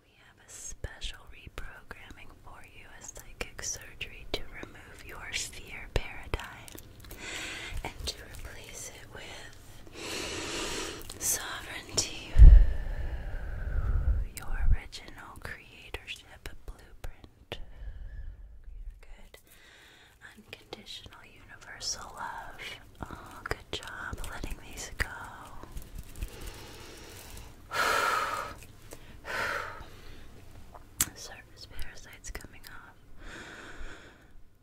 We have a special reprogramming for you a psychic surgery to remove your fear paradigm and to replace it with sovereignty, your original creatorship blueprint, good unconditional universal love. Oh, good job letting these go. Surface parasites coming off.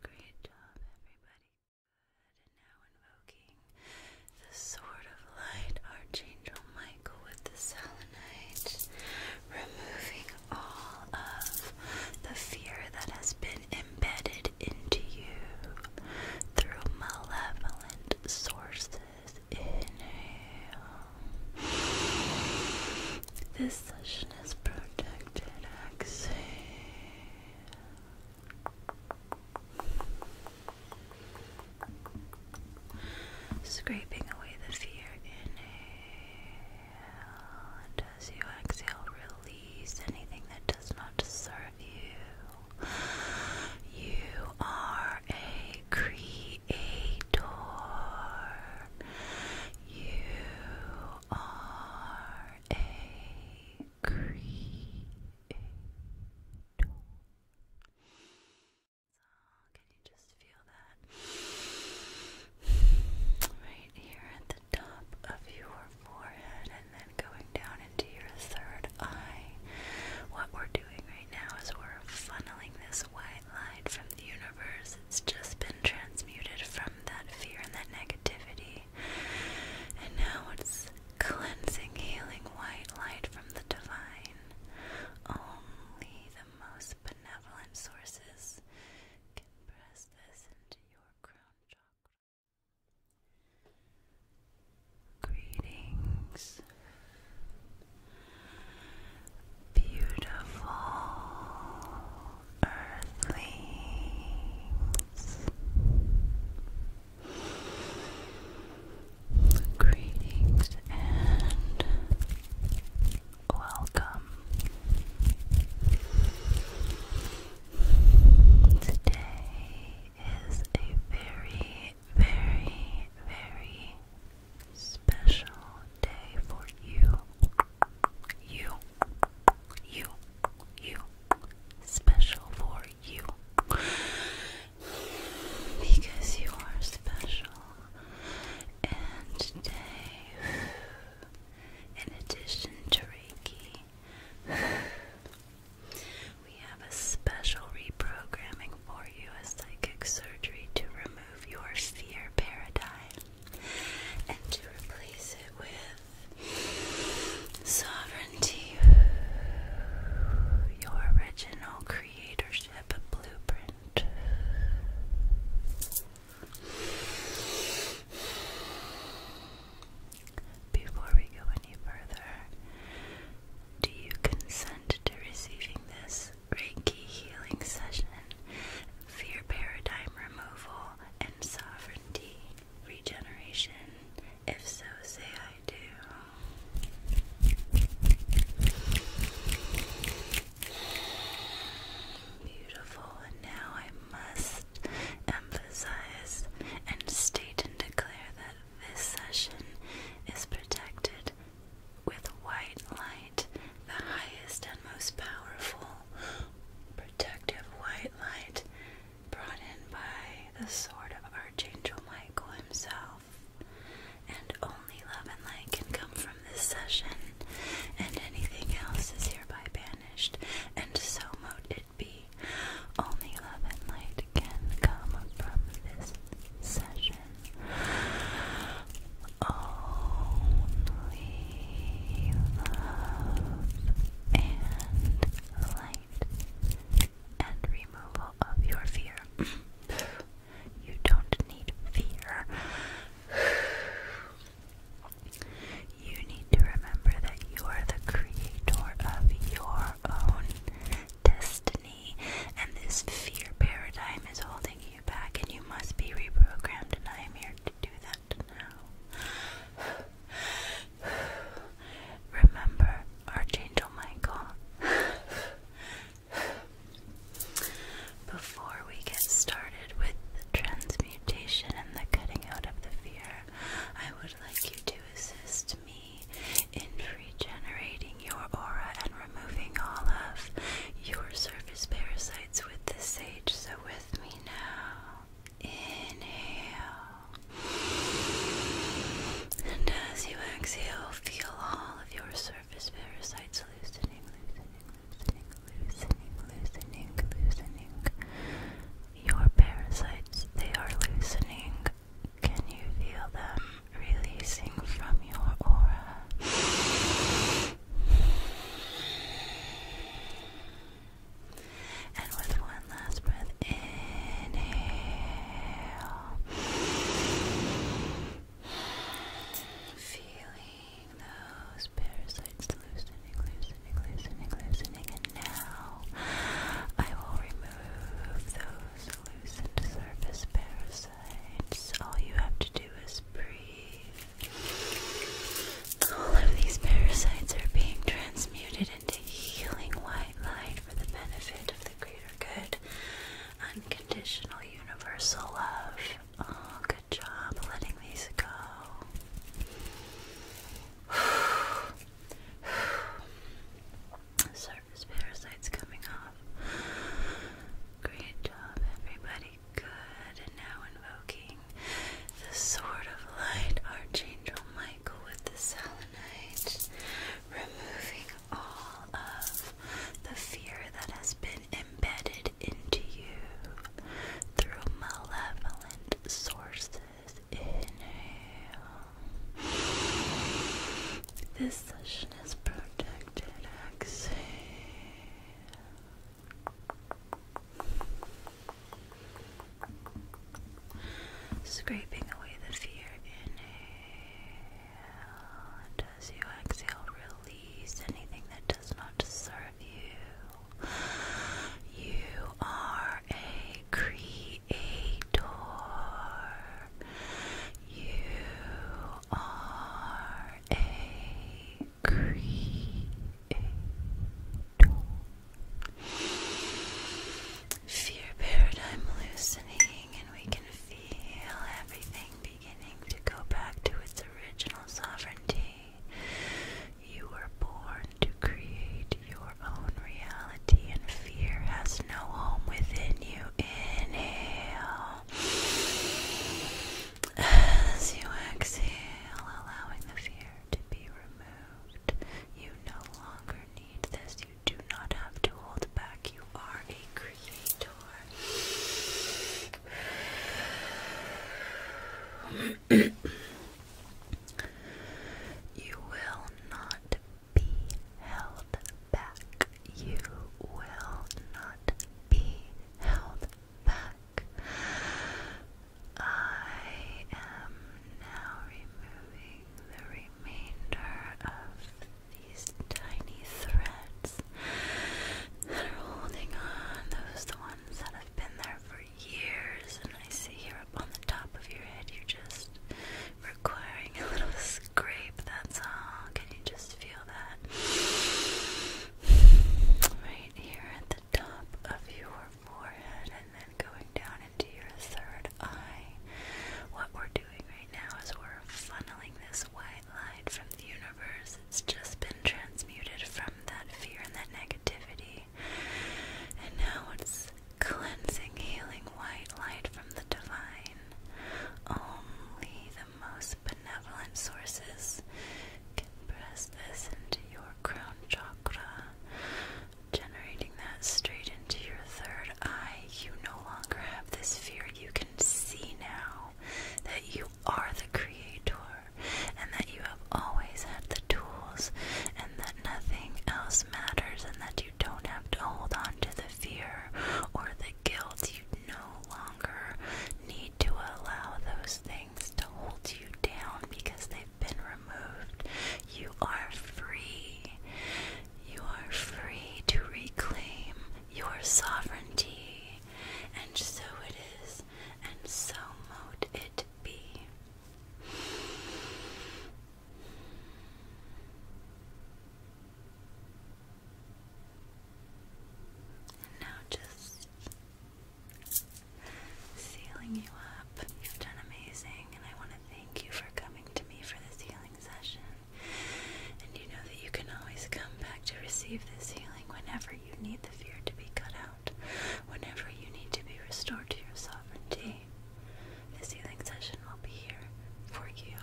Great job, everybody. Good. And now invoking the sword of light, Archangel Michael with the selenite, removing all of the fear that has been embedded into you through malevolent sources. Inhale. This session is protected. Exhale. Scraping away the fear, inhale and as you exhale, release anything that does not serve you. You are a creator. You are a creator. can you just feel that right here at the top of your forehead and then going down into your third eye. What we're doing right now is we're funneling this white light from the universe. It's just been transmuted from that fear and that negativity. And now it's cleansing, healing white light from the divine. Only the most benevolent sources can press this into your crown chakra. Greetings, beautiful earthlings. Greetings and welcome Today is a very, very, very special day for you. You, you, you, special for you. Because you are special. And today in addition to Reiki, we have a special reprogramming for you a psychic surgery to remove your fear paradigm and to replace it with sovereignty, your original creatorship blueprint. Before we go any further, do you consent to receiving this Reiki healing session, fear paradigm removal, and sovereignty regeneration? If so, say I do. Beautiful, and now I'm must emphasize and state and declare that this session is protected with white light, the highest and most powerful protective white light brought in by the sword of Archangel Michael himself. And only love and light can come from this session, and anything else is hereby banned and so mote it be. Only love and light can come from this session. Only love and light and removal of your fear. you don't need fear. You need to remember that you are the creator of your own destiny, and this fear paradigm is holding you back, and you must be reprogrammed. And I am here to do that now. Remember, Archangel Michael. Before we get started with the transmutation and the cutting out of the fear, I would like you to assist me in regenerating your aura and removing all of your surface parasites with the sage. So, with me now, inhale. And as you exhale, feel all of your surface parasites loosening, loosening, loosening, loosening, loosening. loosening. Your parasites, they are loosening. Can you feel them releasing from your aura? And with one last breath, inhale. Feeling those parasites loosening, loosening, loosening, loosening, and now I will remove those loosened surface parasites. All you have to do is breathe. All of these parasites are being transmuted into healing white light for the benefit of the greater good, unconditional universal love. Oh, good job letting these go. Surface parasites coming off. Great job, everybody. Good. And now invoking the Sword of Light, Archangel Michael with the Selenite, removing all of the fear that has been embedded into you through malevolent sources. Inhale. This session is protected. Exhale. Scraping away the fear. Inhale as you exhale, release anything that does not serve you. You are a creator. You are a creator. Fear paradigm loosening, and we can feel everything beginning to go back to its original sovereignty. You were born to create your own reality, and fear has no home within you. Inhale. As you exhale, allowing the fear to be removed, you no longer need this. You do not have to hold back. You are a creator you will not be held back. You will not be held back. I am now removing the remainder of these tiny threads that are holding on. Those the ones that have been there for years, and I see here up on the top of your head, you're just requiring a little scrape. That's all. Can you just feel that right here at the top of your forehead, and then going down into your third eye? What we're doing right now is we're funneling this way light from the universe. It's just been transmuted from that fear and that negativity. And now it's cleansing, healing white light from the divine. Only the most benevolent sources can press this into your crown chakra, generating that straight into your third eye. You no longer have this fear. You can can see now that you are the creator and that you have always had the tools and that nothing else matters and that you don't have to hold on to the fear or the guilt. You no longer need to allow those things to hold you down because they've been removed. You are free. You are free to reclaim your sovereignty, and so it is, and so mote it be. now just sealing you up. You've done amazing, and I want to thank you for coming to me for this healing session. And you know that you can always come back to receive this healing whenever you need the fear to be cut out, whenever you need to be restored to your sovereignty. This healing session will be here for you.